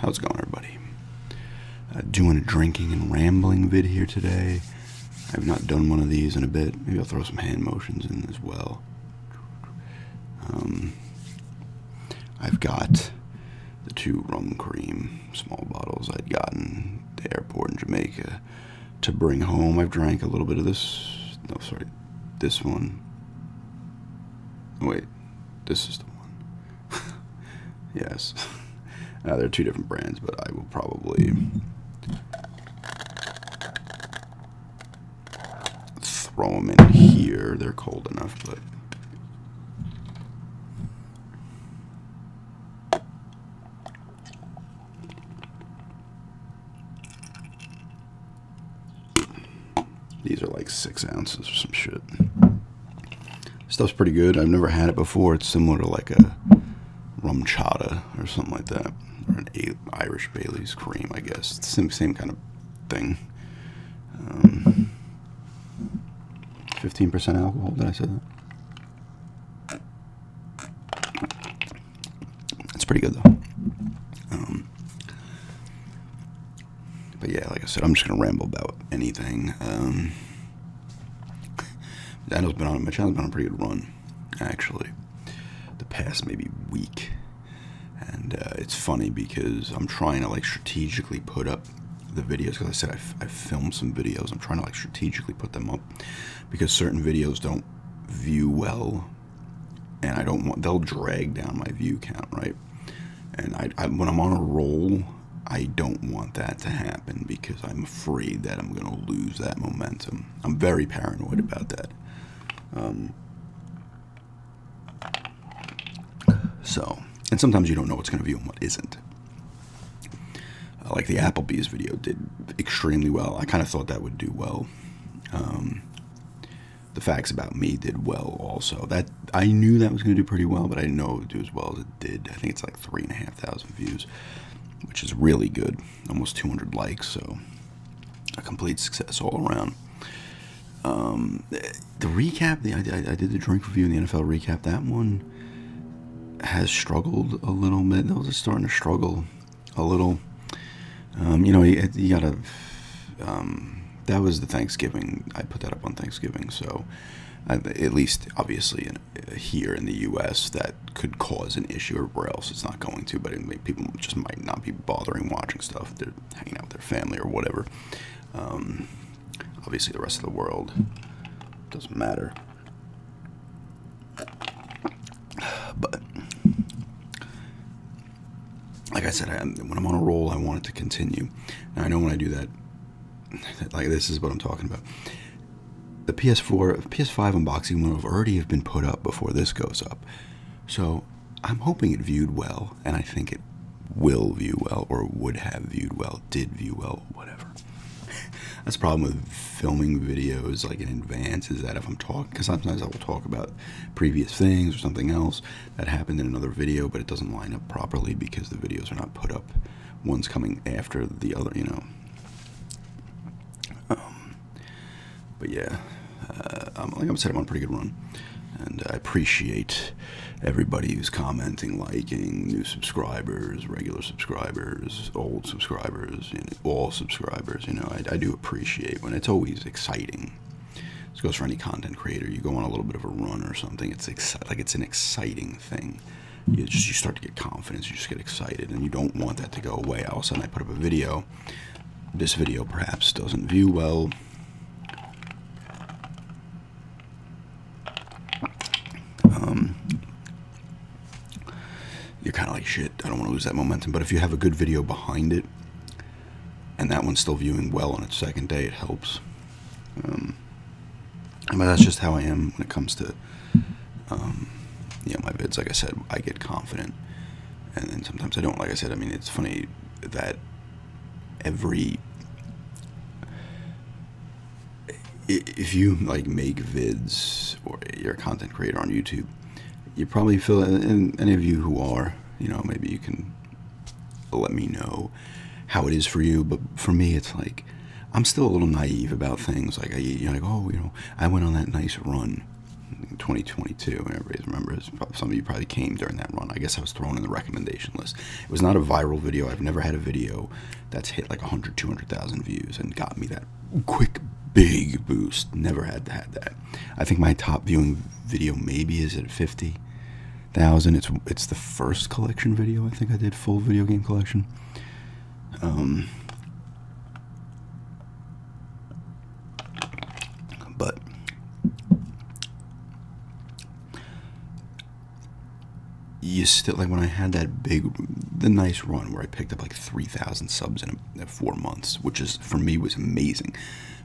How's it going, everybody? Uh, doing a drinking and rambling vid here today. I've not done one of these in a bit. Maybe I'll throw some hand motions in as well. Um, I've got the two rum cream small bottles I'd gotten at the airport in Jamaica to bring home. I've drank a little bit of this. No, sorry, this one. Wait, this is the one. yes. there are two different brands, but I will probably throw them in here. They're cold enough, but. These are like six ounces or some shit. Stuff's pretty good. I've never had it before. It's similar to like a rum chata or something like that. Or an Irish Bailey's cream, I guess. same, same kind of thing. 15% um, alcohol, did I say that? It's pretty good though. Um, but yeah, like I said, I'm just gonna ramble about anything. Daniel's um, been on my channel's been on a pretty good run, actually. The past maybe week, and uh, it's funny because I'm trying to like strategically put up the videos because I said I filmed some videos. I'm trying to like strategically put them up because certain videos don't view well and I don't want they'll drag down my view count, right? And I, when I'm on a roll, I don't want that to happen because I'm afraid that I'm going to lose that momentum. I'm very paranoid about that. Um, so, and sometimes you don't know what's going to view and what isn't. like the Applebee's video did extremely well. I kind of thought that would do well. Um, the Facts About Me did well also. That I knew that was going to do pretty well, but I didn't know it would do as well as it did. I think it's like 3,500 views, which is really good. Almost 200 likes, so a complete success all around. Um, the recap, the, I, did the drink review and the NFL recap. That one has struggled a little bit. was just starting to struggle a little. Um, you know, you, gotta. Um, that was the Thanksgiving. I put that up on Thanksgiving, so at least obviously here in the U.S. that could cause an issue. where else, it's not going to, but people just might not be bothering watching stuff. They're hanging out with their family or whatever. Um, obviously, the rest of the world doesn't matter. But like I said, when I'm on a roll, I want it to continue. Now I know when I do that, like this is what I'm talking about. The PS4, PS5 unboxing will already have been put up before this goes up, so I'm hoping it viewed well, and I think it will view well, or would have viewed well, did view well, whatever. That's the problem with filming videos like in advance is that if I'm talking, because sometimes I will talk about about previous things or something else that happened in another video, but it doesn't line up properly because the videos are not put up. One's coming after the other, you know. Um, but yeah, uh, I'm, like I said, I'm on a pretty good run. And I appreciate everybody who's commenting, liking, new subscribers, regular subscribers, old subscribers, you know, all subscribers. You know, I, I do appreciate when it's always exciting this goes for any content creator. You go on a little bit of a run or something. It's exci like it's an exciting thing. You just you start to get confidence. You just get excited, and you don't want that to go away. All of a sudden, I put up a video. This video perhaps doesn't view well. Um, you're kind of like shit. I don't want to lose that momentum. But if you have a good video behind it, and that one's still viewing well on its second day, it helps. Um, but that's just how I am when it comes to, um, you know, my vids. Like I said, I get confident, and then sometimes I don't. Like I said, I mean, it's funny that every if you like make vids or you're a content creator on YouTube, you probably feel, and any of you who are, you know, maybe you can let me know how it is for you. But for me, it's like I'm still a little naive about things. Like I, you're like, oh, you know, I went on that nice run. in 2022, and everybody remembers. Some of you probably came during that run. I guess I was thrown in the recommendation list. It was not a viral video. I've never had a video that's hit like 100, 200,000 views and got me that quick, big boost. Never had had that. I think my top viewing video maybe is at 50,000. It's it's the first collection video I think I did full video game collection. Um, but you still like when I had that big, the nice run where I picked up like 3,000 subs in, in four months, which is for me was amazing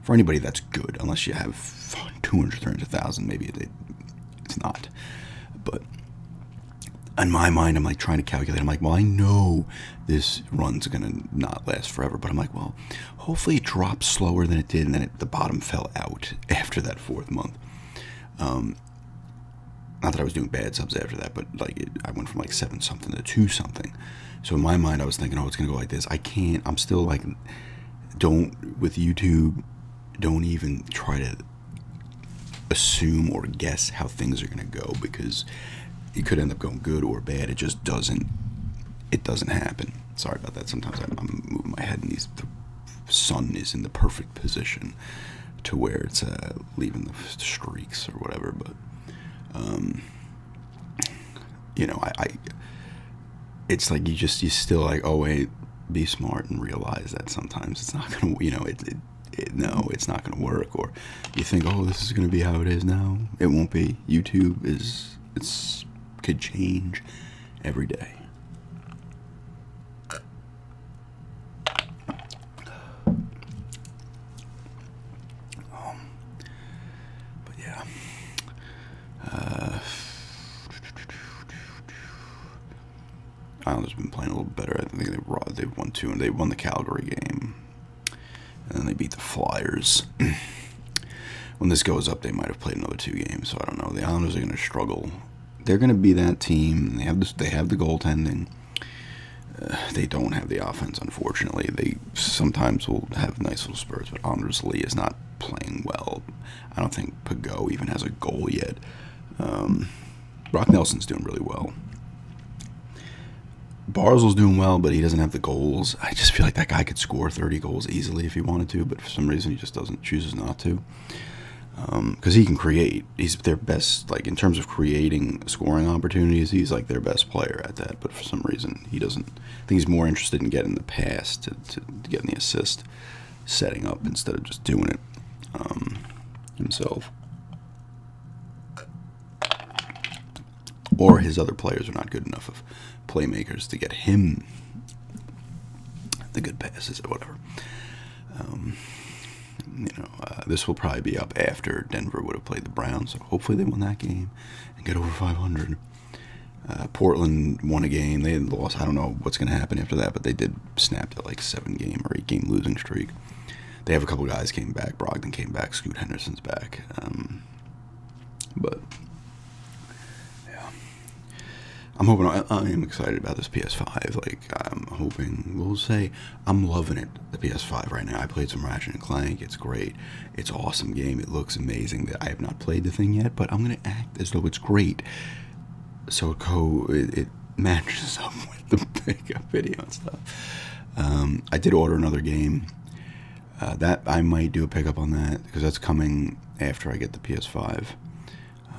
for anybody that's good, unless you have 200, 300,000, maybe it's not. But in my mind, I'm like trying to calculate. I'm like, well, I know this run's gonna not last forever, but I'm like, well, hopefully it drops slower than it did, and then the bottom fell out after that fourth month. Um, not that I was doing bad subs after that, but like I went from like seven something to two something. So in my mind, I was thinking, oh, it's gonna go like this. I can't. I'm still like, don't with YouTube, don't even try to assume or guess how things are gonna go because it could end up going good or bad. It just doesn't. It doesn't happen. Sorry about that. Sometimes I'm, moving my head, and these the sun is in the perfect position to where it's uh, leaving the streaks or whatever. But um, you know, I, it's like you just you still like oh wait, be smart and realize that sometimes it's not gonna you know it no it's not gonna work or you think oh this is gonna be how it is now it won't be YouTube is it's could change every day. Um, but yeah. Uh, Islanders been playing a little better. I think they won, they won two, and they won the Calgary game, and then they beat the Flyers. when this goes up, they might have played another two games. So I don't know. The Islanders are going to struggle. They're going to be that team. They have this. They have the goaltending. Uh, they don't have the offense, unfortunately. They Sometimes we will have nice little spurts, but Anders Lee is not playing well. I don't think Pagot even has a goal yet. Um, Brock Nelson's doing really well. Barzell's doing well, but he doesn't have the goals. I just feel like that guy could score 30 goals easily if he wanted to, but for some reason he just doesn't chooses not to. Because um, he can create. He's their best, like in terms of creating scoring opportunities, he's like their best player at that. But for some reason, he doesn't I think he's more interested in getting the pass to, getting the assist, setting up instead of just doing it um, himself. Or his other players are not good enough of playmakers to get him the good passes or whatever. Um, you know, uh, this will probably be up after Denver would have played the Browns. So hopefully they win that game and get over 500. Uh, Portland won a game. They had lost. I don't know what's going to happen after that, but they did snap that like seven game or eight game losing streak. They have a couple guys came back. Brogdon came back. Scoot Henderson's back. Um, but yeah, I'm hoping. I, am excited about this PS5. Like I'm hoping. We'll say I'm loving it. The PS5 right now. I played some Ratchet and Clank. It's great. It's an awesome game. It looks amazing. That I have not played the thing yet, but I'm gonna act as though it's great. So it co it, matches up with the pickup video and stuff. Um, I did order another game. Uh, that I might do a pickup on that because that's coming after I get the PS5.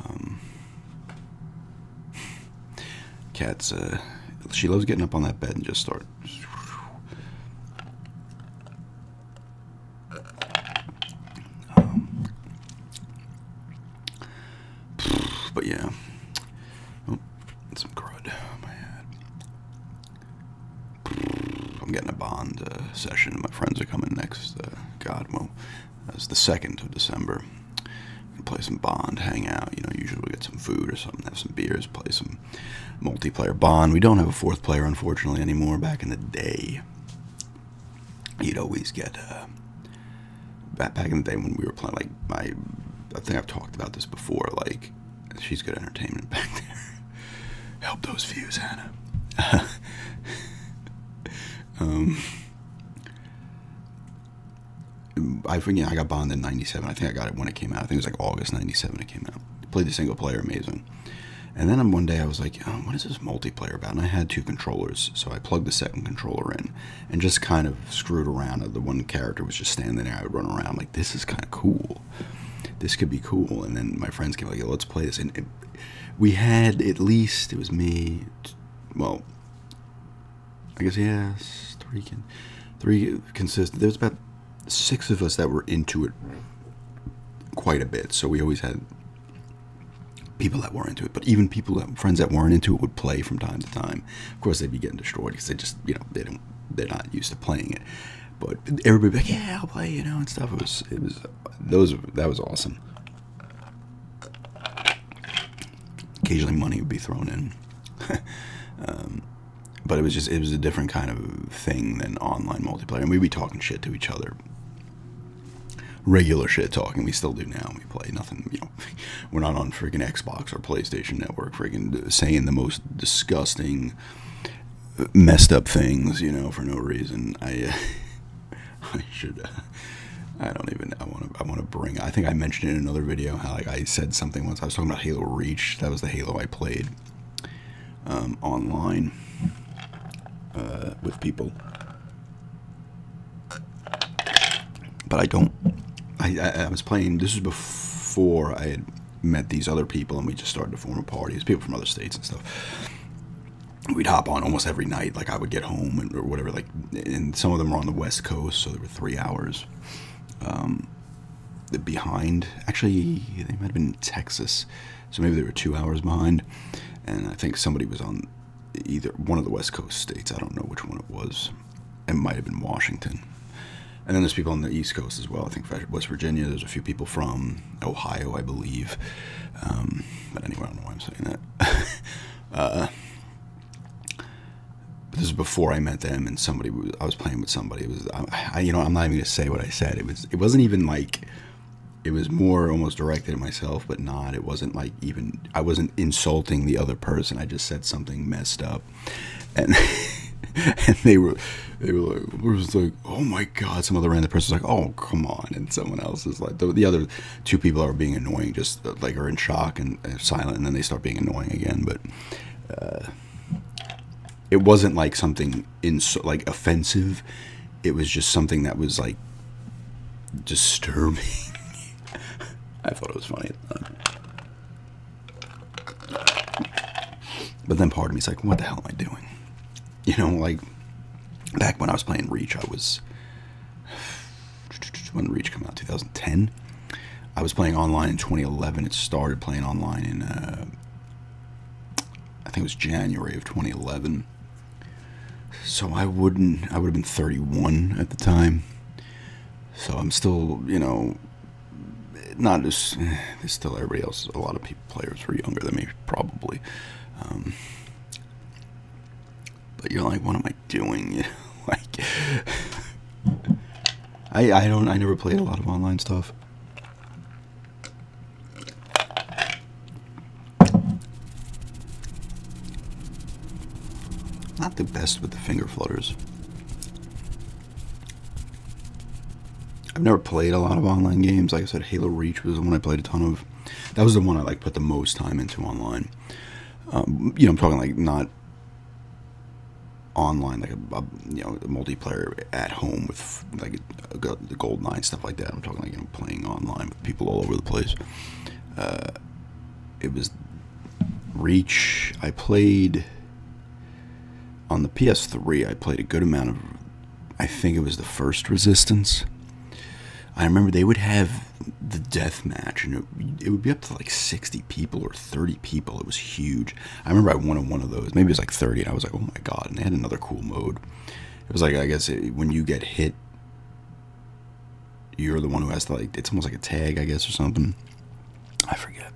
Um, Cat's uh, she loves getting up on that bed and just start um, but yeah, oh, some crud on my head. I'm getting a bond uh, session. My friends are coming next. Uh, God, well, that's the second of December. Play some bond, hang out. You know, usually we get some food or something, have some beers, play some multiplayer bond. We don't have a fourth player, unfortunately, anymore. Back in the day, you'd always get uh, back in the day when we were playing. Like my, I think I've talked about this before. Like she's good entertainment back there. Help those views, Hannah. um, I think I got Bond in '97. I think I got it when it came out. I think it was like August '97. It came out played the single player amazing. And then one day I was like, um, what is this multiplayer about? And I had two controllers, so I plugged the second controller in and just kind of screwed around. The one character was just standing there. I would run around like, this is kind of cool. This could be cool. And then my friends came like, let's play this. And we had at least, it was me, well, I guess, yes, three, three consist. There was about six of us that were into it quite a bit. So we always had people that were into it. But even people that friends that weren't into it would play from time to time. Of course, they'd be getting destroyed because they just you know they don't they're not used to playing it. But everybody like, yeah, I'll play, you know, and stuff. It was it was those that was awesome. Occasionally, money would be thrown in. Um, but it was just it was a different kind of thing than online multiplayer and we'd be talking shit to each other regular shit talking we still do now we play nothing you know we're not on freaking xbox or playstation network freaking saying the most disgusting messed up things you know for no reason i i should I don't even. I want to. I want to bring. I think I mentioned in another video how like I said something once. I was talking about Halo Reach. That was the Halo I played um, online uh, with people. But I don't. I, was playing. This was before I had met these other people, and we just started to form a party. It's people from other states and stuff we'd hop on almost every night. Like I would get home or whatever. Like, and some of them were on the West Coast, so there were three hours. Um, behind. Actually, they might have been in Texas, so maybe they were two hours behind. And I think somebody was on either one of the West Coast states. I don't know which one it was. It might have been Washington. And then there's people on the East Coast as well. I think West Virginia. There's a few people from Ohio, I believe. Um, but anyway, I don't know why I'm saying that. but uh, this is before I met them, and somebody I was playing with somebody. I, you know I'm not even gonna say what I said. It was it wasn't even like it was more almost directed at myself, but not. It wasn't like even I wasn't insulting the other person. I just said something messed up, and they were they were like, it was like oh my god. Some other random person's like oh come on, and someone else is like the, other two people are being annoying, just uh, like are in shock and uh, silent, and then they start being annoying again. But uh, it wasn't like something in like offensive. It was just something that was like disturbing. I thought it was funny But then part of me me's like, what the hell am I doing? You know, like back when I was playing Reach, I was when Reach came out, 2010. I was playing online in 2011. It started playing online in uh, I think it was January of 2011. So I wouldn't, I would have been 31 at the time. So I'm still, you know, not as, still everybody else, a lot of people, players were younger than me, probably. Um, but you're like, what am I doing? You know, like, I, I don't, I never played a lot of online stuff. Not the best with the finger flutters. I've never played a lot of online games. Like I said, Halo Reach was the one I played a ton of. That was the one I like put the most time into online. Um, you know, I'm talking like not online, like a, you know multiplayer at home with like the gold nine stuff like that. I'm talking like you know playing online with people all over the place. Uh, it was Reach. I played on the PS3. I played a good amount of. I think it was the first Resistance. I remember they would have the death match, and it would be up to like 60 people or 30 people. It was huge. I remember I wanted one of those. Maybe it was like 30, and I was like, oh my god. And they had another cool mode. It was like, I guess when you get hit, you're the one who has to, like, it's almost like a tag, I guess, or something. I forget.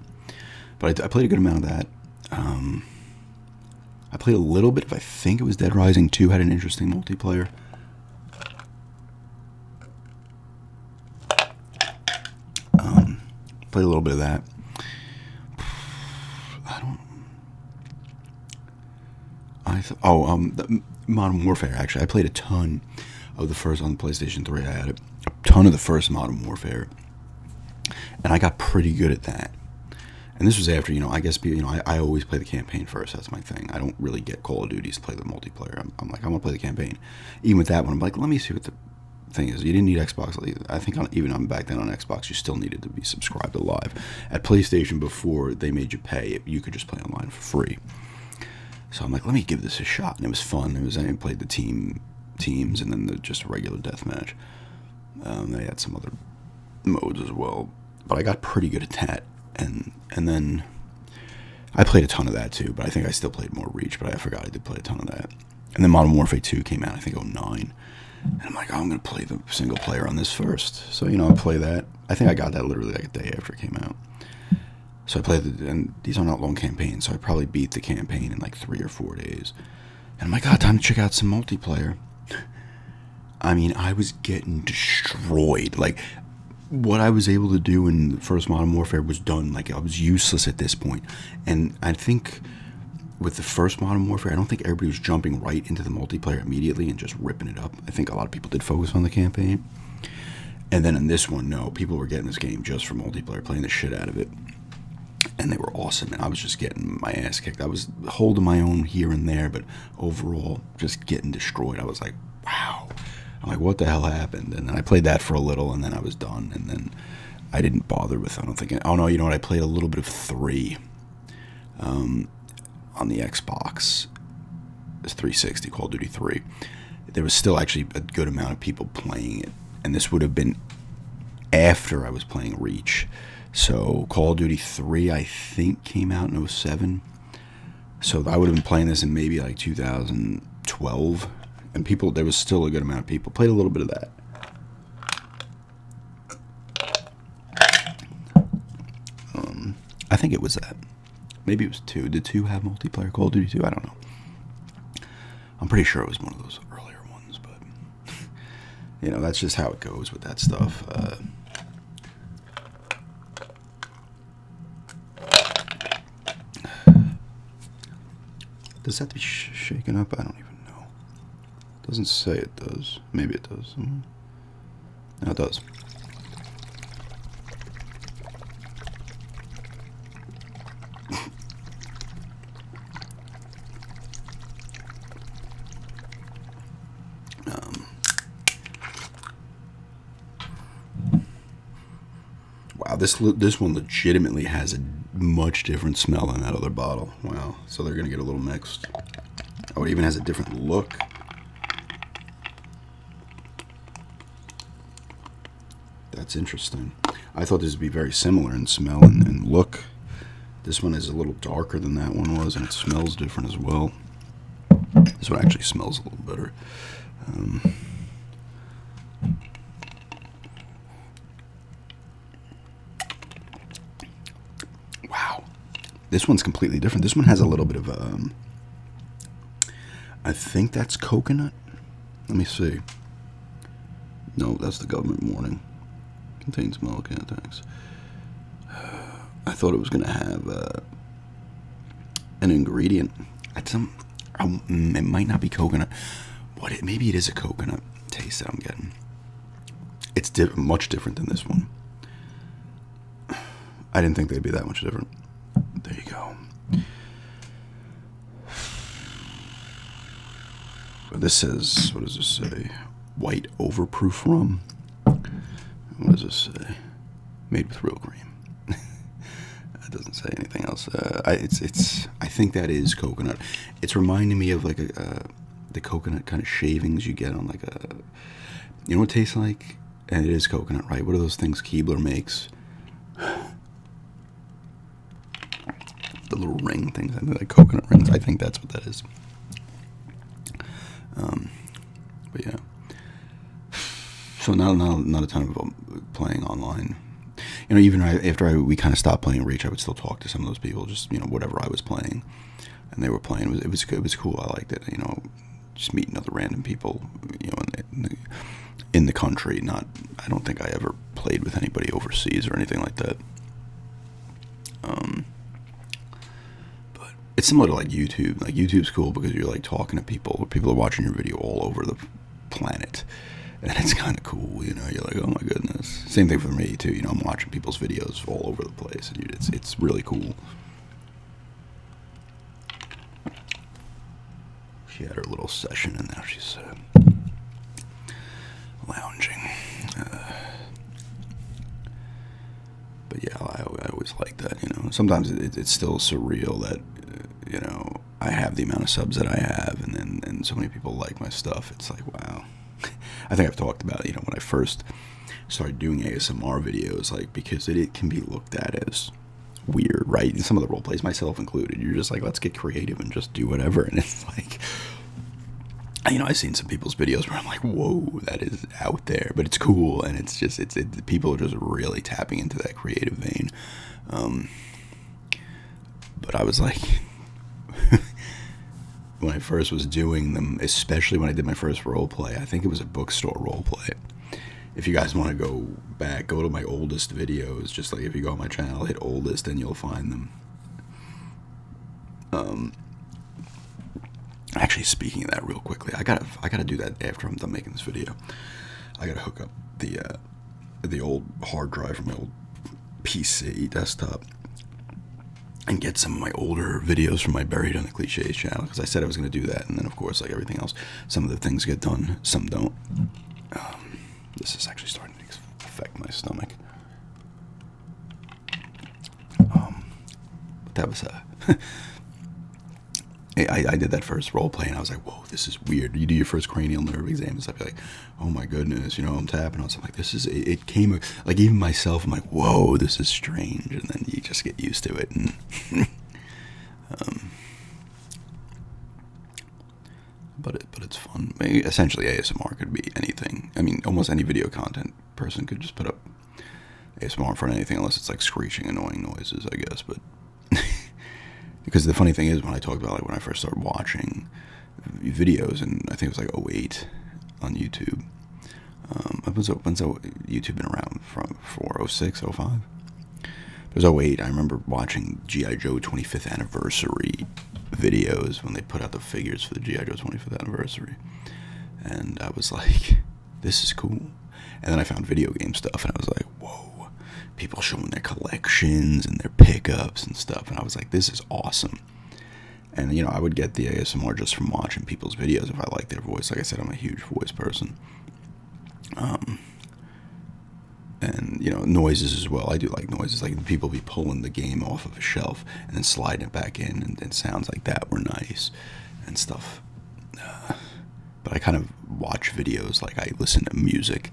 But I, played a good amount of that. Um, I played a little bit If I think it was Dead Rising 2, had an interesting multiplayer. Um, play a little bit of that. I don't. I oh um, Modern Warfare actually. I played a ton of the first on the PlayStation Three. I had a, a ton of the first Modern Warfare, and I got pretty good at that. And this was after you know I guess you know I, always play the campaign first. That's my thing. I don't really get Call of Duty to play the multiplayer. I'm like I'm gonna play the campaign. Even with that one, I'm like let me see what the thing is you didn't need Xbox. I think even on back then on Xbox, you still needed to be subscribed to Live. At PlayStation, before they made you pay, you could just play online for free. So I'm like, let me give this a shot, and it was fun. It was I played the team teams, and then the just regular death match. Um, they had some other modes as well, but I got pretty good at that, and and then I played a ton of that too. But I think I still played more Reach, but I forgot I did play a ton of that. And then Modern Warfare 2 came out, I think, oh nine. And I'm like, oh, I'm going to play the single player on this first. So, you know, I play that. I think I got that literally like a day after it came out. So I played, the, and these are not long campaigns, so I probably beat the campaign in like three or four days. And I'm like, God, ah, time to check out some multiplayer. I mean, I was getting destroyed. Like, what I was able to do in the first Modern Warfare was done. Like, I was useless at this point. And I think with the first Modern Warfare, I don't think everybody was jumping right into the multiplayer immediately and just ripping it up. I think a lot of people did focus on the campaign. And then in this one, no, people were getting this game just for multiplayer, playing the shit out of it. And they were awesome, and I was just getting my ass kicked. I was holding my own here and there, but overall, just getting destroyed. I was like, wow. I'm like, what the hell happened? And then I played that for a little, and then I was done. And then I didn't bother with. I don't think. Oh no, you know what? I played a little bit of three um, on the Xbox. It's 360 Call of Duty 3. There was still actually a good amount of people playing it, and this would have been after I was playing Reach. So Call of Duty 3, I think, came out in 07. So I would have been playing this in maybe like 2012, and people there was still a good amount of people played a little bit of that. Um, I think it was that. Maybe it was two. Did two have multiplayer Call of Duty 2? I don't know. I'm pretty sure it was one of those earlier ones, but you know, that's just how it goes with that stuff. Uh, does that be sh shaken up? I don't even know doesn't say it does. Maybe it does. Hmm. No, it does. Um. Wow, this this one legitimately has a much different smell than that other bottle wow. So they're going to get a little mixed. Oh, it even has a different look. That's interesting. I thought this would be very similar in smell and, look. This one is a little darker than that one was, and it smells different as well. This one actually smells a little better. Um, Wow. This one's completely different. This one has a little bit of um I think that's coconut. Let me see. No, that's the government warning. Contains milk I thought it was going to have uh, an ingredient. Some, um, it might not be coconut. What? maybe it is a coconut taste that I'm getting. It's much different than this one. I didn't think they'd be that much different. There you go. this says, what does this say? White overproof rum. What does this say? Made with real cream. It doesn't say anything else. Uh, it's, it's. I think that is coconut. It's reminding me of like a, uh, the coconut kind of shavings you get on like a, you know what tastes like? And it is coconut, right? What are those things Keebler makes? the little ring things, I think like coconut rings. I think that's what that is. Um, but yeah. So not, not, not a ton of um, playing online you know, even after we kind of stopped playing Reach, I would still talk to some of those people, just you know, whatever I was playing, and they were playing. It was it was, cool. I liked it. You know, just meeting other random people, you know, in the, country. Not, I don't think I ever played with anybody overseas or anything like that. Um, but it's similar to like YouTube. Like YouTube's cool because you're like talking to people. People are watching your video all over the planet and it's kind of cool, you know. You're like, oh my goodness. Same thing for me too. You know, I'm watching people's videos all over the place, and it's it's really cool. She had her little session, and now she's uh, lounging. Uh. but yeah, I, I always like that. You know, sometimes it's still surreal that you know I have the amount of subs that I have, and then and so many people like my stuff. It's like wow I think I've talked about, you know, when I first started doing ASMR videos, like, because it, can be looked at as weird, right? And some of the role plays, myself included, you're just like, let's get creative and just do whatever. And it's like, you know, I've seen some people's videos where I'm like, whoa, that is out there, but it's cool. And it's just, it's, it, people are just really tapping into that creative vein. Um, but I was like, when I first was doing them, especially when I did my first role play, I think it was a bookstore role play. If you guys want to go back, go to my oldest videos. Just like if you go on my channel, hit oldest, and you'll find them. Um, actually, speaking of that, real quickly, I gotta I gotta do that after I'm done making this video. I gotta hook up the uh, the old hard drive from my old PC desktop and get some of my older videos from my Buried in the Cliches channel because I said I was going to do that. And then, of course, like everything else, some of the things get done, some don't. Um, this is actually starting to affect my stomach. Um, but that was uh, a. I, I did that first role play and I was like, whoa, this is weird. You do your first cranial nerve exam and stuff, you're like, oh my goodness, you know, I'm tapping on something like this is it, came like even myself, I'm like, whoa, this is strange, and then you just get used to it and um, but it but it's fun. essentially ASMR could be anything. I mean almost any video content person could just put up ASMR in front of anything unless it's like screeching annoying noises, I guess, but because the funny thing is when I talked about like when I first started watching videos, and I think it was like 08 on YouTube. I Um, when's, when's YouTube been around from 406, 05? It was 08. I remember watching G.I. Joe 25th anniversary videos when they put out the figures for the G.I. Joe 25th anniversary. And I was like, this is cool. And then I found video game stuff and I was like, whoa, people showing their collections and their pickups and stuff. And I was like, this is awesome. And you know, I would get the ASMR just from watching people's videos if I like their voice. Like I said, I'm a huge voice person. Um, and you know, noises as well. I do like noises. Like people be pulling the game off of a shelf and then sliding it back in, and, and sounds like that were nice and stuff. Uh, but I kind of watch videos like I listen to music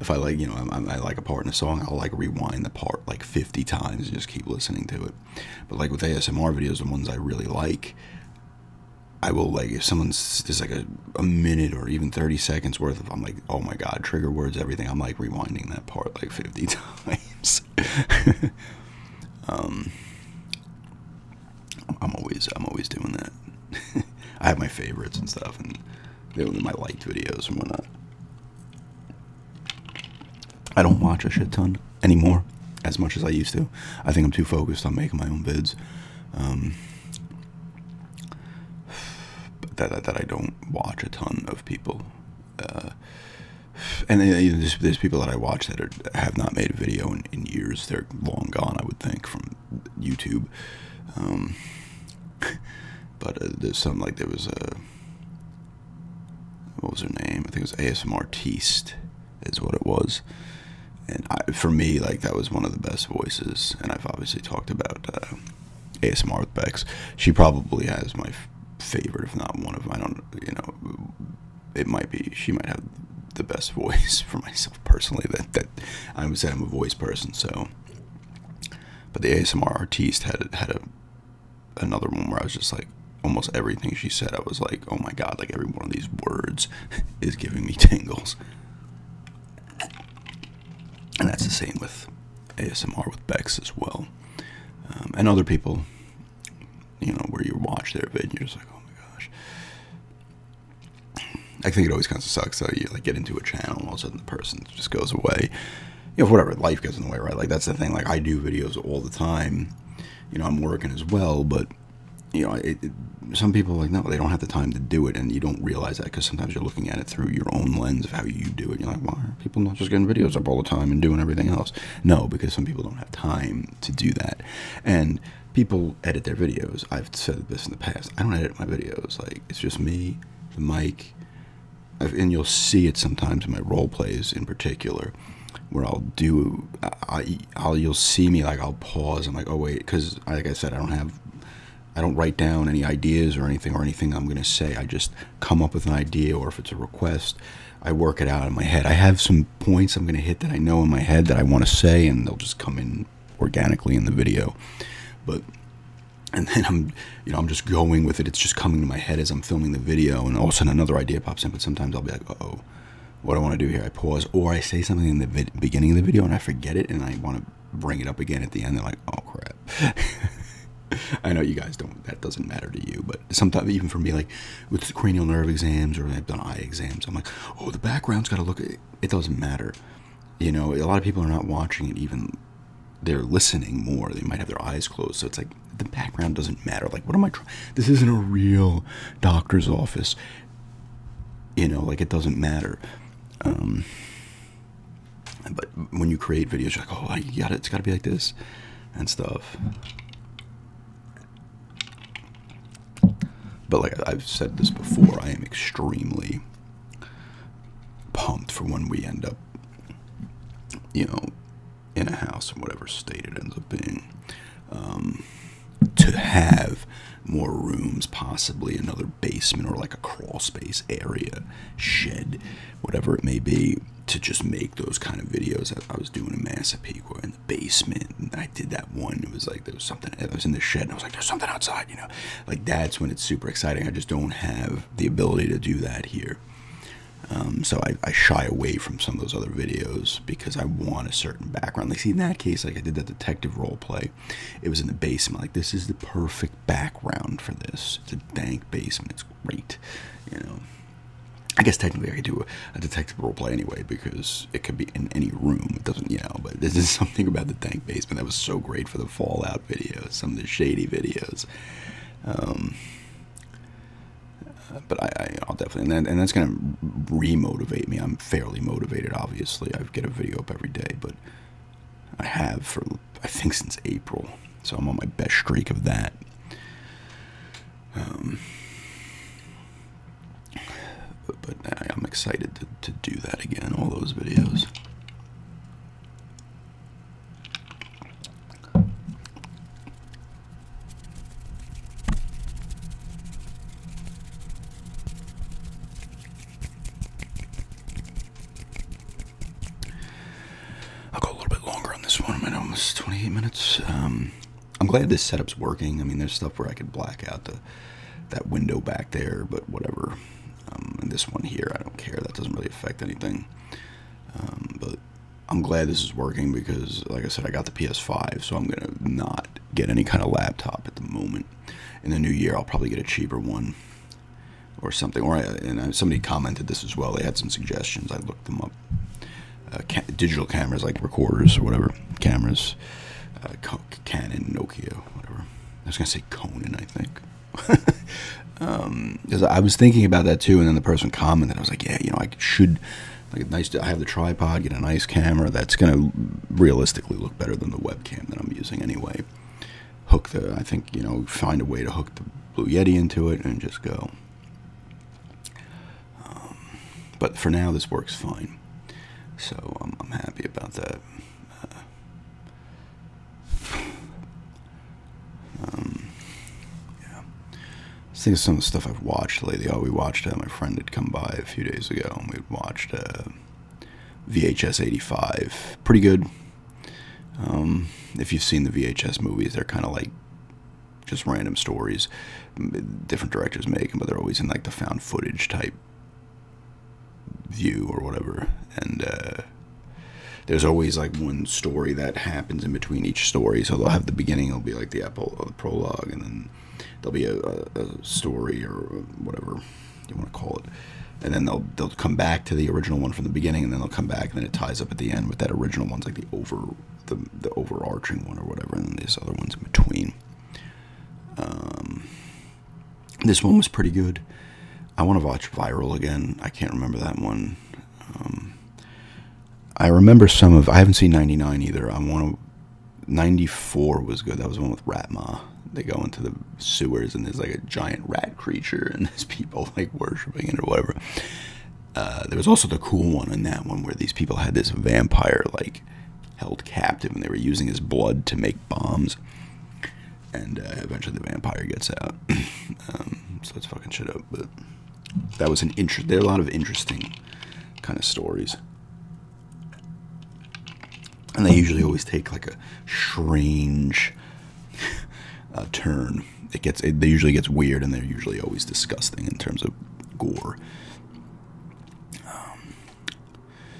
if I like, you know, I, like a part in a song, I'll like rewind the part like 50 times and just keep listening to it. But like with ASMR videos, the ones I really like, I will like if someone's there's like a, a minute or even 30 seconds worth of I'm like oh my god trigger words everything I'm like rewinding that part like 50 times um I'm always I'm always doing that I have my favorites and stuff and they're my liked videos and whatnot I don't watch a shit ton anymore as much as I used to. I think I'm too focused on making my own vids. Um, that, that, I don't watch a ton of people. Uh, and there's, people that I watch that have not made a video in, years. They're long gone, I would think, from YouTube. Um, But uh, there's something like there was a what was her name? I think it was ASMR Artiste, is what it was. And for me, like that was one of the best voices. And I've obviously talked about uh, ASMR with Bex. She probably has my favorite, if not one of. Them. I don't, you know, it might be. She might have the best voice for myself personally. That that I would say I'm a voice person. So, but the ASMR Artiste had had a another one where I was just like, almost everything she said, I was like, oh my god, like every one of these words is giving me tingles. And that's the same with ASMR with Bex as well. Um, and other people, you know, where you watch their video, you're just like, oh my gosh. I think it always kind of sucks though. You like get into a channel, and all of a sudden the person just goes away, you know, whatever, life gets in the way, right? Like, that's the thing. Like, I do videos all the time. You know, I'm working as well, but, you know, some people like, no, they don't have the time to do it, and you don't realize that because sometimes you're looking at it through your own lens of how you do it. You're like, why are people not just getting videos up all the time and doing everything else? No, because some people don't have time to do that. And people edit their videos. I've said this in the past. I don't edit my videos. Like, it's just me, the mic, and you'll see it sometimes in my role plays in particular where I'll do I you'll see me like I'll pause I'm like oh wait cuz like I said I don't have I don't write down any ideas or anything or anything I'm going to say I just come up with an idea or if it's a request I work it out in my head I have some points I'm going to hit that I know in my head that I want to say and they'll just come in organically in the video but and then I'm, you know, I'm just going with it. It's just coming to my head as I'm filming the video, and all of a sudden another idea pops in. But sometimes I'll be like, oh, what do I want to do here? I pause, or I say something in the beginning of the video and I forget it, and I want to bring it up again at the end. They're like, oh crap. I know you guys don't. That doesn't matter to you, but sometimes even for me, like with cranial nerve exams or I've done eye exams, I'm like, oh, the background's got to look. It doesn't matter. You know, a lot of people are not watching it even they're listening more. They might have their eyes closed. So it's like the background doesn't matter. Like, what am I trying? This isn't a real doctor's office. You know, like it doesn't matter. Um, but when you create videos, like, oh, I got it. It's got to be like this and stuff. But like I've said this before, I am extremely pumped for when we end up, you know, in a house in whatever state it ends up being, um, to have more rooms, possibly another basement or like a crawl space area, shed, whatever it may be, to just make those kind of videos. I, was doing a Massapequa in the basement, I did that one. It was like there was something. I was in the shed, and I was like, "There's something outside," you know. Like that's when it's super exciting. I just don't have the ability to do that here. Um, so I, shy away from some of those other videos because I want a certain background. Like, see, in that case, like I did that detective role play, it was in the basement. Like, this is the perfect background for this. It's a dank basement. It's great, you know. I guess technically I could do a, detective role play anyway because it could be in any room. It doesn't, you know. But this is something about the dank basement that was so great for the Fallout videos, some of the shady videos. Um, uh, but I, will definitely, and, that's going to re-motivate me. I'm fairly motivated, obviously. I get a video up every day, but I have for, I think, since April. So I'm on my best streak of that. Um, but, I, am excited to do that again, all those videos. I'll go a little bit longer on this one. I'm at almost 28 minutes. Um, I'm glad this setup's working. I mean, there's stuff where I could black out the that window back there, but whatever. Um, and this one here, I don't care. That doesn't really affect anything. Um, but I'm glad this is working because, like I said, I got the PS5, so I'm gonna not get any kind of laptop at the moment. In the new year, I'll probably get a cheaper one or something. Or uh, and uh, somebody commented this as well. They had some suggestions. I looked them up. Uh, digital cameras like recorders or whatever cameras, Canon, Nokia, whatever. I was gonna say Conan, I think cause um, I was thinking about that too, and then the person commented. I was like, yeah, you know, I should like nice. I have the tripod, get a nice camera that's gonna realistically look better than the webcam that I'm using anyway. Hook the, I think you know, find a way to hook the Blue Yeti into it and just go. Um, but for now, this works fine, so um, I'm, happy about that. Uh, um, yeah. Let's think of some of the stuff I've watched lately. Oh, we watched, uh, my friend had come by a few days ago, and we watched uh, VHS 85. Pretty good. Um, if you've seen the VHS movies, they're kind of like just random stories different directors make them, but they're always in like the found footage type view or whatever. And uh, there's always like one story that happens in between each story. So they'll have the beginning, it'll be like the, uh, prologue, and then there'll be a, story or whatever you want to call it. And then they'll they'll come back to the original one from the beginning, and then they'll come back, and then it ties up at the end with that original one's like the over the, overarching one or whatever, and then this other one's in between. Um, this one was pretty good. I want to watch Viral again. I can't remember that one. Um, I remember some of. I haven't seen '99 either. I want to. '94 was good. That was one with Ratma. They go into the sewers and there's like a giant rat creature and there's people like worshiping it or whatever. Uh, there was also the cool one in that one where these people had this vampire like held captive and they were using his blood to make bombs and uh, eventually the vampire gets out. Um, so it's fucking shit up. But that was an interest. There are a lot of interesting kind of stories, and they usually always take like a strange uh, turn. It gets they usually gets weird, and they're usually always disgusting in terms of gore. Um,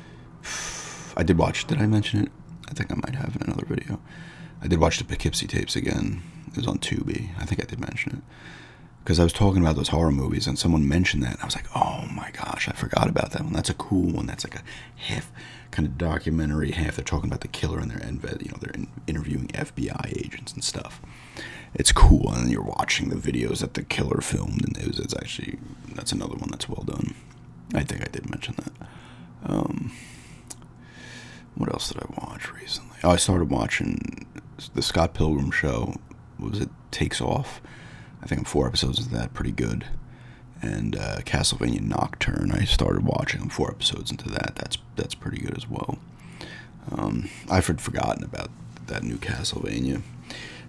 I did watch. Did I mention it? I think I might have in another video. I did watch the Poughkeepsie tapes again. It was on Tubi. I think I did mention it. Because I was talking about those horror movies and someone mentioned that. I was like, oh my gosh, I forgot about that one. That's a cool one. That's like a half kind of documentary, half they're talking about the killer and their are you know, they're interviewing FBI agents and stuff. It's cool. And you're watching the videos that the killer filmed. And it it's actually, that's another one that's well done. I think I did mention that. Um, what else did I watch recently? Oh, I started watching the Scott Pilgrim show. was it Takes Off? I think four episodes of that. Pretty good. And uh, Castlevania Nocturne. I started watching. four episodes into that. That's that's pretty good as well. Um, I've forgotten about that new Castlevania.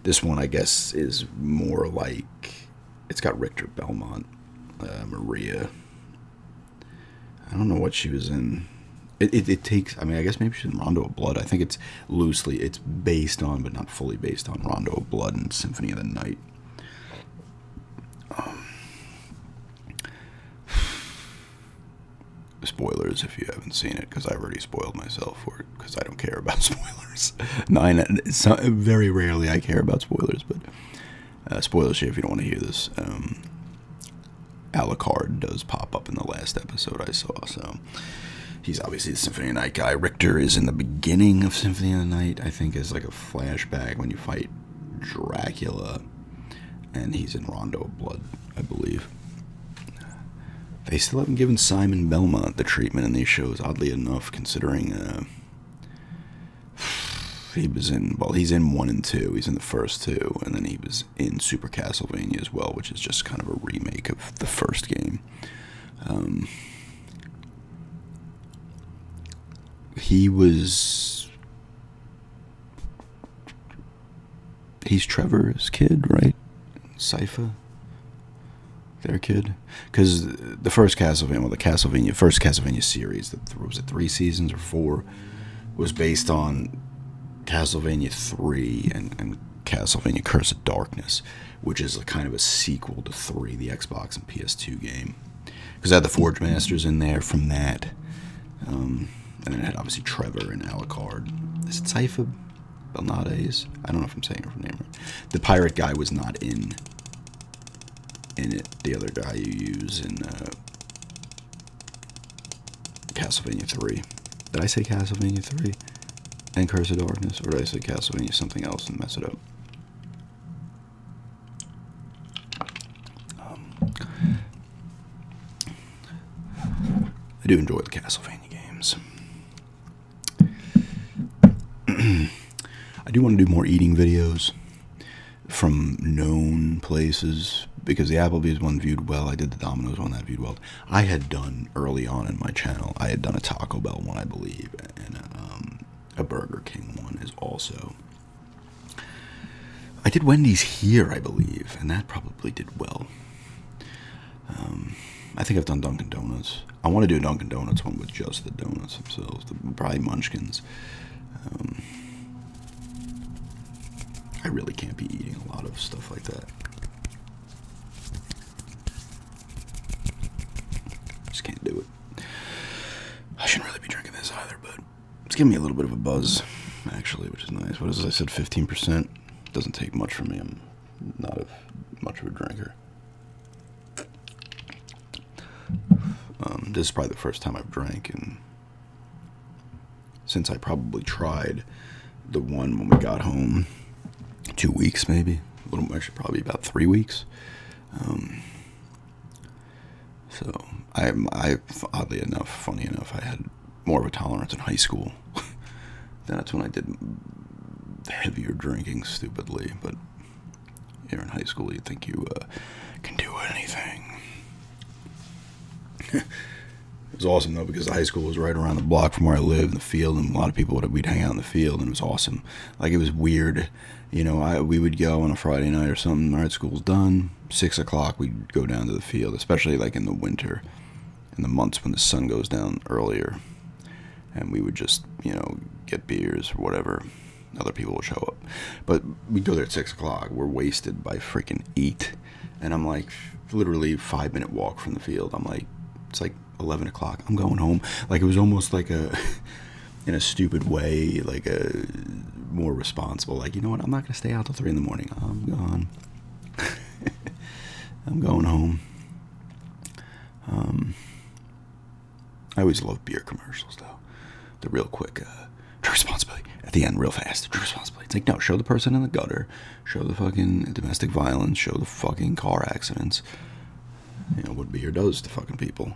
This one, I guess, is more like it's got Richter Belmont, uh, Maria, I don't know what she was in. It, takes, I mean, I guess maybe she's in Rondo of Blood. I think it's loosely, it's based on, but not fully based on Rondo of Blood and Symphony of the Night. Um, spoilers if you haven't seen it, because I have already spoiled myself for it, because I don't care about spoilers. Nine, so, very rarely I care about spoilers, but uh, spoilers here if you don't want to hear this. Um, Alucard does pop up in the last episode I saw, so he's obviously the Symphony of the Night guy. Richter is in the beginning of Symphony of the Night, I think, as like a flashback when you fight Dracula, and he's in Rondo of Blood, I believe. They still haven't given Simon Belmont the treatment in these shows, oddly enough, considering uh, he was in well he's in one and two he's in the first two and then he was in super castlevania as well which is just kind of a remake of the first game um, he was he's trevor's kid right cypher their kid because the first Castlevania, well, the Castlevania first Castlevania series that was it three seasons or four was based on Castlevania three and, and Castlevania Curse of Darkness, which is a kind of a sequel to three, the Xbox and PS2 game, because I had the Forge Masters in there from that, um, and then I had obviously Trevor and Alucard. Is it Sypha Belnades? I don't know if I'm saying her name right. The pirate guy was not in in it, the other guy you use in uh, Castlevania 3. Did I say Castlevania 3 and Curse or did I say Castlevania something else and mess it up? Um, I do enjoy the Castlevania games. I do want to do more eating videos from known places because the Applebee's one viewed well. I did the Domino's one that viewed well. I had done early on in my channel. I had done a Taco Bell one, I believe, and um, a Burger King one is also. I did Wendy's here, I believe, and that probably did well. Um, I think I've done Dunkin' Donuts. I want to do a Dunkin' Donuts one with just the donuts themselves, the, probably Munchkins. Um, I really can't be eating a lot of stuff like that. Just can't do it. I shouldn't really be drinking this either, but it's giving me a little bit of a buzz, actually, which is nice. What is I said 15%. Doesn't take much from me. I'm not a, much of a drinker. Um, this is probably the first time I've drank, and since I probably tried the one when we got home, two weeks maybe, a little actually probably about three weeks. Um, so I, I oddly enough, funny enough, I had more of a tolerance in high school. That's when I did heavier drinking stupidly, but here in high school, you think you uh, can do anything. it was awesome though because the high school was right around the block from where I lived, in the field, and a lot of people would we'd hang out in the field, and it was awesome. Like it was weird, you know. I we would go on a Friday night or something. All right, school's done. Six o'clock, we'd go down to the field, especially like in the winter, in the months when the sun goes down earlier, and we would just you know get beers or whatever other people will show up. But we go there at six o'clock. We're wasted by freaking eight, and I'm like, literally five minute walk from the field. I'm like, it's like eleven o'clock. I'm going home. Like it was almost like a, in a stupid way, like a more responsible. Like you know what? I'm not gonna stay out till three in the morning. I'm gone. I'm going home. Um, I always love beer commercials, though. The real quick, uh, true responsibility at the end, real fast. True responsibility. It's like, no, show the person in the gutter, show the fucking domestic violence, show the fucking car accidents. You know, what beer does to fucking people.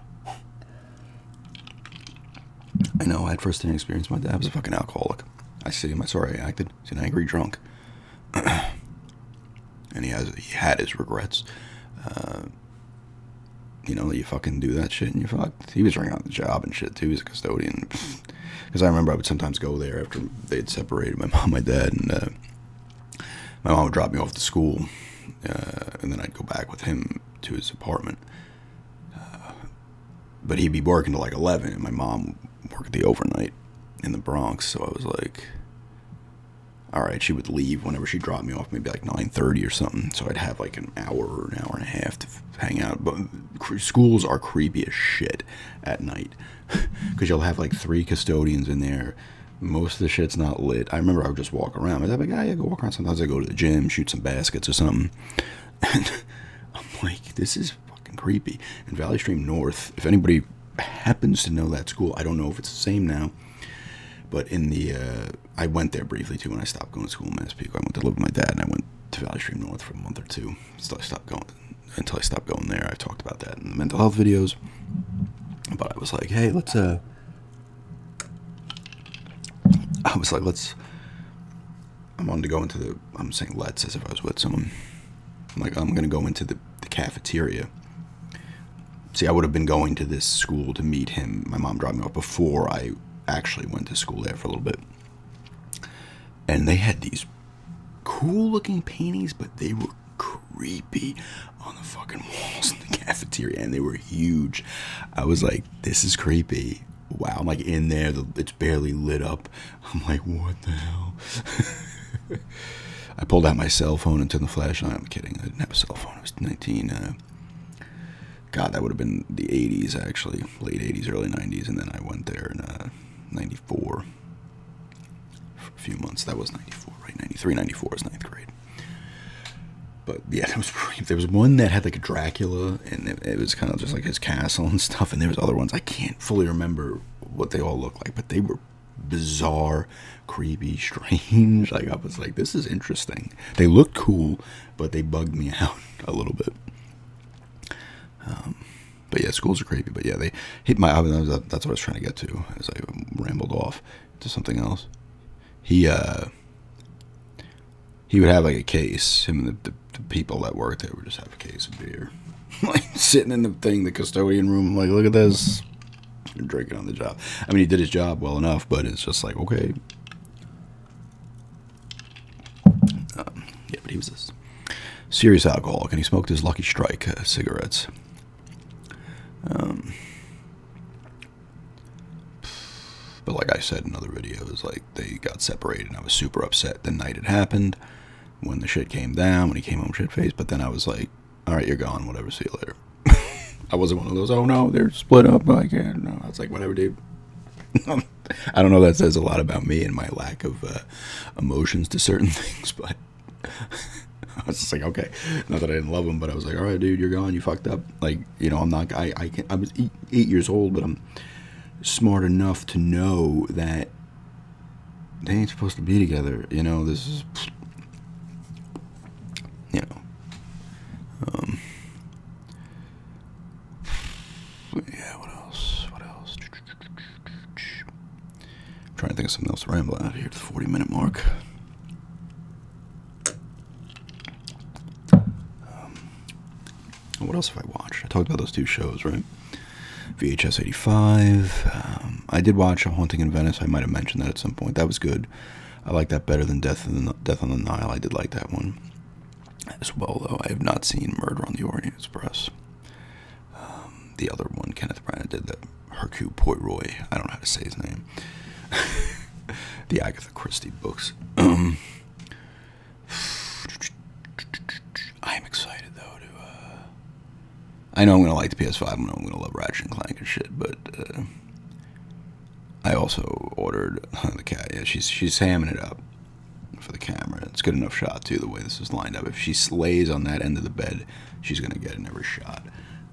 I know, I had first hand experience. My dad was a fucking alcoholic. I see him. I acted. He's an angry drunk. and he has he had his regrets. Uh, you know, you fucking do that shit and you fucked. He was running out the job and shit too. He's a custodian. Because I remember I would sometimes go there after they'd separated my mom, my dad, and uh, my mom would drop me off to school, uh, and then I'd go back with him to his apartment. Uh, but he'd be barking till like eleven, and my mom worked the overnight in the Bronx. So I was like, all right, she would leave whenever she dropped me off maybe like 9.30 or something so i'd have like an hour or an hour and a half to hang out but schools are creepy as shit at night because you'll have like three custodians in there most of the shit's not lit i remember i would just walk around i'd be like ah, yeah, go walk around sometimes i go to the gym shoot some baskets or something and i'm like this is fucking creepy and valley stream north if anybody happens to know that school i don't know if it's the same now but in the uh, I went there briefly too when I stopped going to school in Massapequa. I went to live with my dad, and I went to Valley Stream North for a month or two. Until I stopped going, until I stopped there. I talked about that in the mental health videos. But I was like, hey, let's. Uh, I was like, let's. I wanted to go into the. I'm saying let's as if I was with someone. I'm like, I'm gonna go into the cafeteria. See, I would have been going to this school to meet him. My mom dropped me off before I actually went to school there for a little bit. And they had these cool looking paintings, but they were creepy on the fucking walls in the cafeteria and they were huge. I was like, this is creepy. Wow, I'm like in there, it's barely lit up. I'm like, what the hell? I pulled out my cell phone and turned the flashlight. I'm kidding, I didn't have a cell phone. I was 19. Uh, God, that would have been the 80s, actually, late 80s, early 90s, and then I went there in uh, 94 for a few months. That was 94, right? 93, 94 is ninth grade. But yeah, there was one that had like a Dracula, and it, it was kind of just like his castle and stuff, and there was other ones I can't fully remember what they all looked like, but they were bizarre, creepy, strange. Like I was like, this is interesting. They looked cool, but they bugged me out a little bit. Um, but yeah, schools are creepy. But yeah, they hit my. That's what I was trying to get to as I rambled off to something else. He uh, he would have like a case. Him and the, the people that worked there would just have a case of beer, like sitting in the thing, the custodian room. Like, look at this, You're drinking on the job. I mean, he did his job well enough, but it's just like okay, uh, yeah, but he was this serious alcoholic, and he smoked his Lucky Strike uh, cigarettes. Um, but like I said in another video, it like they got separated, and I was super upset the night it happened. When the shit came down, when he came home shit faced, but then I was like, "All right, you're gone. Whatever. See you later." I wasn't one of those. Oh no, they're split up. I can't. No, I was like, whatever, dude. I don't know. That says a lot about me and my lack of uh, emotions to certain things, but I was just like, okay, not that I didn't love him, but I was like, all right, dude, you're gone. You fucked up. Like, you know, I'm not. I I can, I was eight, years old, but I'm smart enough to know that they ain't supposed to be together. You know, this is, you know, um, yeah, what else? What else? I'm trying to think of something else to ramble out here at the 40 minute mark. Um, what else have I watched? I talked about those two shows, right? VHS 85. Um, I did watch A Haunting in Venice. I might have mentioned that at some point. That was good. I like that better than Death on the, Nile. I did like that one as well, though. I have not seen Murder on the Orient Express. Um, the other one, Kenneth Branagh did that. Hercule Poirot. I don't know how to say his name. the Agatha Christie books. Um, I am excited though to. Uh, I know I'm gonna like the PS5. I know I'm gonna love Ratchet and Clank and shit, but uh, I also ordered the cat. Yeah, she's she's hamming it up for the camera. It's good enough shot too. The way this is lined up. If she slays on that end of the bed, she's gonna get in every shot,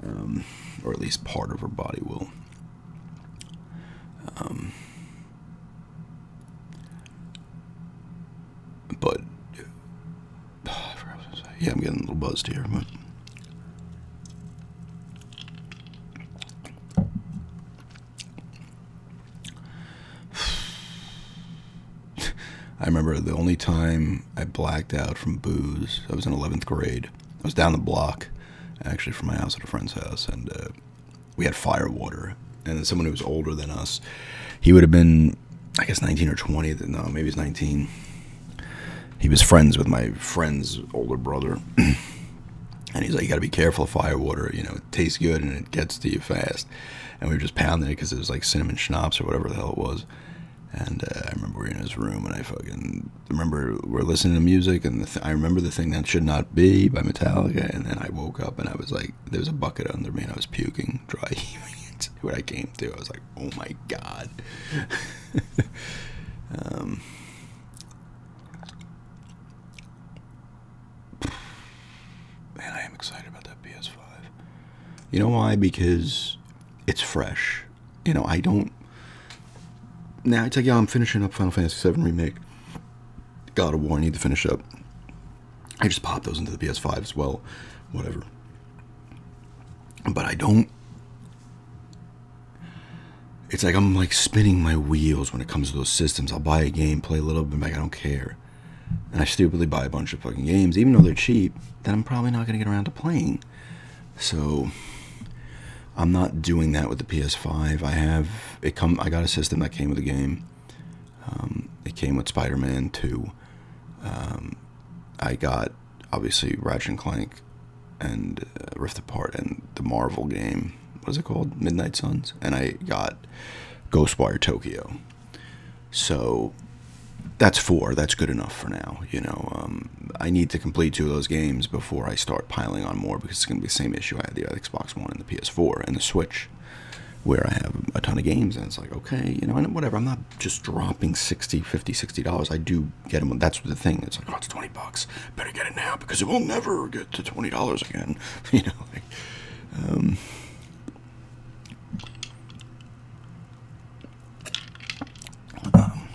um, or at least part of her body will. Um, but yeah, I'm getting a little buzzed here, but I remember the only time I blacked out from booze, I was in 11th grade. I was down the block, actually, from my house at a friend's house, and uh, we had firewater. And then someone who was older than us, he would have been, I guess, 19 or 20. No, maybe he's 19 he was friends with my friend's older brother. and he's like, you got to be careful of firewater. You know, it tastes good and it gets to you fast. And we were just pounding it because it was like cinnamon schnapps or whatever the hell it was. And uh, I remember we were in his room and I fucking remember we're listening to music and I remember the thing that should not be by Metallica. And then I woke up and I was like, "There's a bucket under me and I was puking, dry heaving. what I came through, I was like, oh my god. um, Man, I am excited about that PS5. You know why? Because it's fresh. You know, I don't. Now I tell you, I'm finishing up Final Fantasy VII Remake. God of War, I need to finish up. I just pop those into the PS5 as well. Whatever. But I don't it's like I'm like spinning my wheels when it comes to those systems. I'll buy a game, play a little bit, like I don't care. And I stupidly buy a bunch of fucking games, even though they're cheap, that I'm probably not going to get around to playing. So I'm not doing that with the PS5. I have it come. I got a system that came with the game. Um, it came with Spider-Man 2. Um, I got obviously Ratchet and Clank and uh, Rift Apart and the Marvel game. What is it called? Midnight Suns. And I got Ghostwire Tokyo. So that's four. That's good enough for now. You know, um, I need to complete two of those games before I start piling on more because it's going to be the same issue I had the Xbox One and the PS4 and the Switch, where I have a ton of games. And it's like, okay, you know, and whatever. I'm not just dropping 60 50 $60. I do get them. That's the thing. It's like, oh, it's 20 bucks better get it now because it will never get to twenty dollars again. you know, um, um,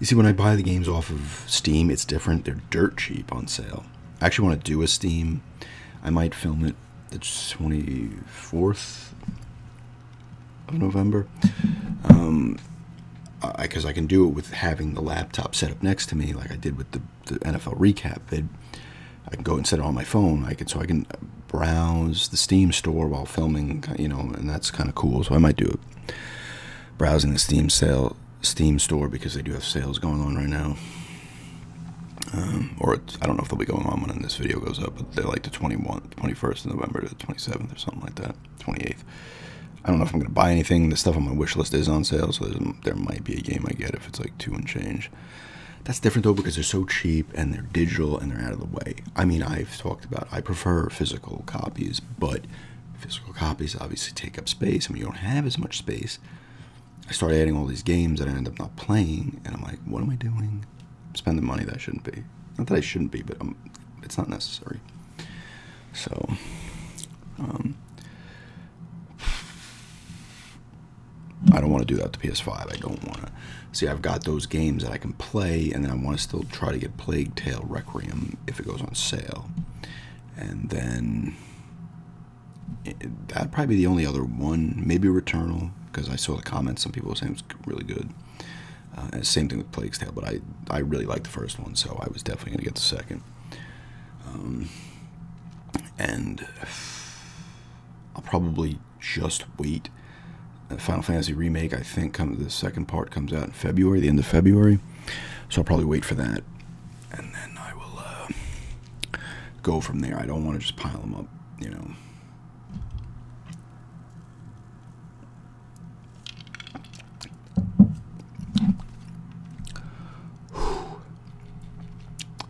you see, when I buy the games off of Steam, it's different. They're dirt cheap on sale. I actually want to do a Steam. I might film it the twenty fourth of November. because um, I, can do it with having the laptop set up next to me, like I did with the, NFL recap vid. I can go and set it on my phone. so I can browse the Steam store while filming, you know, and that's kind of cool. So I might do it. Browsing the Steam sale, Steam store because they do have sales going on right now. Um, or I don't know if they'll be going on when this video goes up, but they're like the 21, 21st of November to the 27th or something like that. 28th. I don't know if I'm going to buy anything. The stuff on my wish list is on sale, so there might be a game I get if it's like two and change. That's different though because they're so cheap and they're digital and they're out of the way. I mean, I've talked about I prefer physical copies, but physical copies obviously take up space. and mean, you don't have as much space. I start adding all these games that I end up not playing, and I'm like, what am I doing? Spend the money that shouldn't be. Not that I shouldn't be, but I'm it's not necessary. So, um, I don't want to do that to PS5. I don't want to. See, I've got those games that I can play, and then I want to still try to get Plague Tale Requiem if it goes on sale. And then eh, that'd probably be the only other one. Maybe Returnal, because I saw the comments. Some people saying it's really good. Uh, same thing with Plague Tale, but I I really like the first one, so I was definitely gonna get the second. Um, and I'll probably just wait. Uh, Final Fantasy remake, I think, comes the second part comes out in February, the end of February, so I'll probably wait for that, and then I will uh, go from there. I don't want to just pile them up, you know.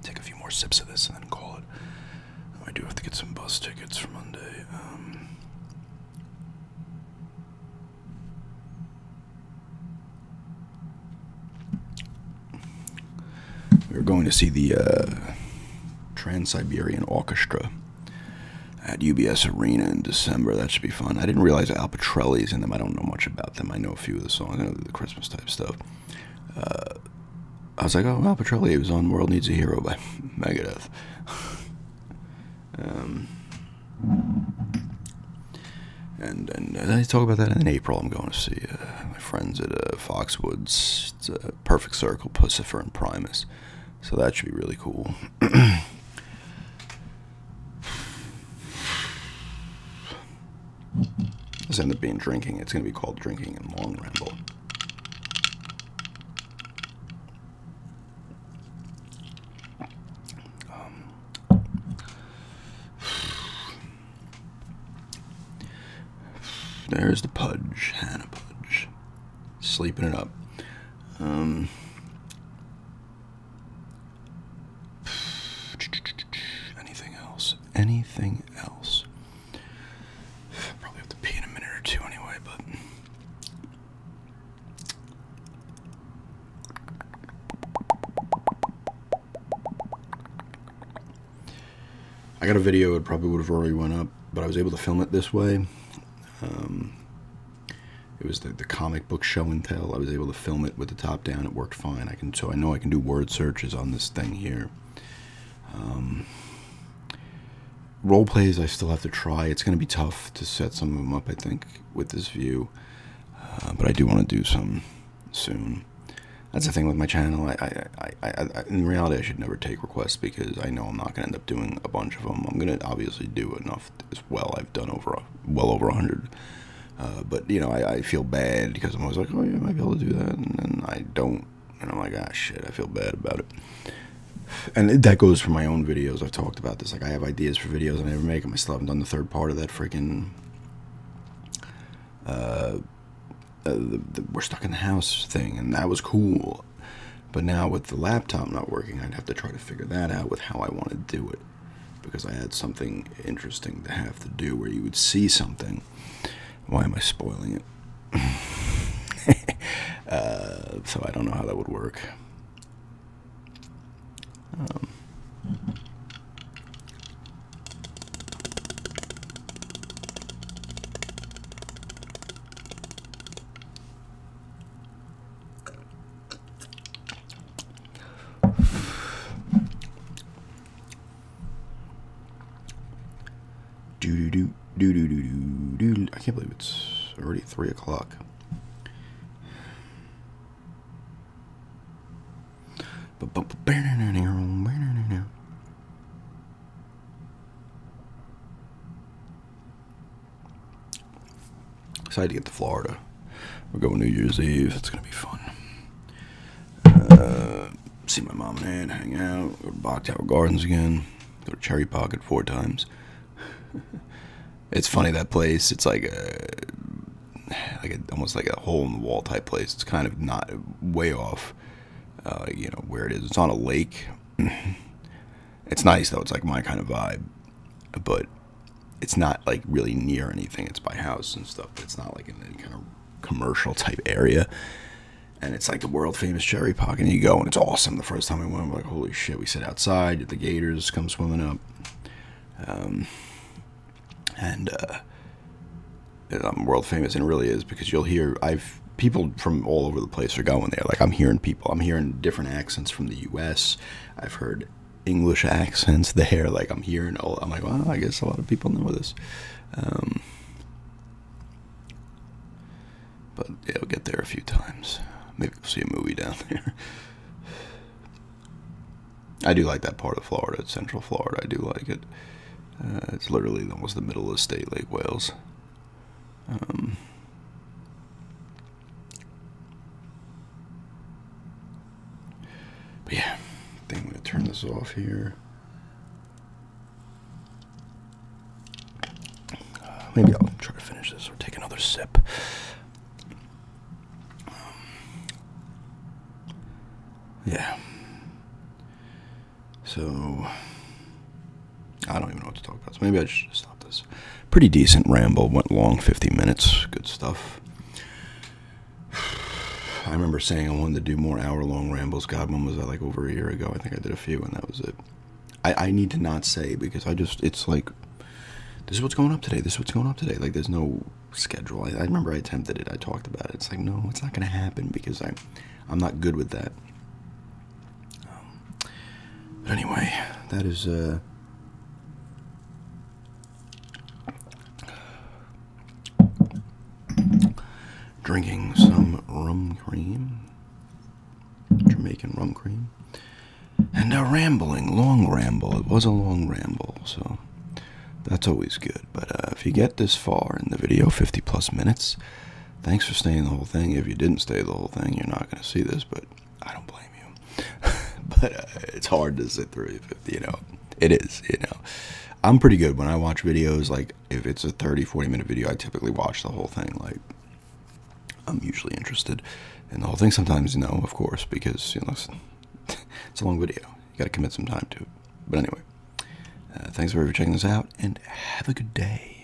Take a few more sips of this and then call it. I do have to get some bus tickets for Monday. Um. we are going to see the uh, Trans Siberian Orchestra at UBS Arena in December. That should be fun. I didn't realize Al Petrelli's in them. I don't know much about them. I know a few of the songs. I know the Christmas type stuff. Uh, I was like, oh, Al Petrelli was on World Needs a Hero by Megadeth. um, and and I talk about that in April. I'm going to see uh, my friends at uh, Foxwoods. It's a perfect circle, Pussifer and Primus. So that should be really cool. This end up being drinking. It's going to be called drinking in long ramble. Um. there's the pudge, Hannah Pudge, sleeping it up. Um, anything else? Anything else? Probably have to pee in a minute or two anyway, but. I got a video, it probably would have already went up, but I was able to film it this way. Um, it was the, the comic book show and tell. I was able to film it with the top down. It worked fine. I can so I know I can do word searches on this thing here. Um, role plays I still have to try. It's going to be tough to set some of them up. I think with this view, uh, but I do want to do some soon. That's the thing with my channel. I, I, I, in reality, I should never take requests because I know I'm not going to end up doing a bunch of them. I'm going to obviously do enough as well. I've done over well over a 100. Uh, but you know, I, feel bad because I'm always like, oh yeah, I might be able to do that, and I don't, and I'm like, ah shit, I feel bad about it. And that goes for my own videos. I've talked about this. Like I have ideas for videos I never make them. I still haven't done the third part of that freaking. Uh, uh, we're stuck in the house thing, and that was cool. But now with the laptop not working, I'd have to try to figure that out with how I want to do it. Because I had something interesting to have to do where you would see something. Why am I spoiling it? Uh, so I don't know how that would work. Um. Do do do do do do do do. I can't believe it's already three o'clock. Excited to get to Florida. We're going New Year's Eve. It's gonna be fun. Uh, see my mom and aunt, hang out, go to Bach Tower Gardens again, go to Cherry Pocket four times. it's funny that place. It's like a like almost like a hole in the wall type place. It's kind of not way off, uh, you know, where it is. It's on a lake. It's nice though. It's like my kind of vibe, but it's not like really near anything. It's by house and stuff, it's not like in any kind of commercial type area. And it's like the world famous cherry pocket. And you go, and it's awesome. The first time I went, we're like, holy shit, we sit outside, the gators come swimming up. Um, and uh, I'm world famous, and really is because you'll hear, I've people from all over the place are going there. Like, I'm hearing people. I'm hearing different accents from the U.S. I've heard English accents there. Like I'm hearing, I'm like, well, I guess a lot of people know this. Um, but yeah, I'll get there a few times. Maybe we'll see a movie down there. I do like that part of Florida, Central Florida. I do like it. Uh, it's literally almost the middle of the state, Lake Wales. Um, but yeah, I am gonna turn this off here. Uh, maybe I'll try to finish this or take another sip. Um, yeah. So I don't even know what to talk about. So maybe I should stop this pretty decent ramble. Went long, 50 minutes. Good stuff. I remember saying I wanted to do more hour-long rambles. God, when was that? Like over a year ago. I think I did a few, and that was it. I, need to not say because I just it's like this is what's going up today. This is what's going up today. Like there's no schedule. I, remember I attempted it. I talked about it. It's like no, it's not going to happen because I I'm not good with that. Um, but anyway, that is uh, drinking some rum cream, Jamaican rum cream, and a rambling, long ramble. It was a long ramble, so that's always good. But uh, if you get this far in the video, 50 plus minutes, thanks for staying the whole thing. If you didn't stay the whole thing, you're not going to see this, but I don't blame you, but uh, it's hard to sit through. You know, it is. You know, I'm pretty good when I watch videos. Like if it's a 30, 40 minute video, I typically watch the whole thing. Like I'm usually interested in the whole thing. Sometimes, you know, of course, because you know, it's a long video. You got to commit some time to it. But anyway, uh, thanks for checking this out, and have a good day.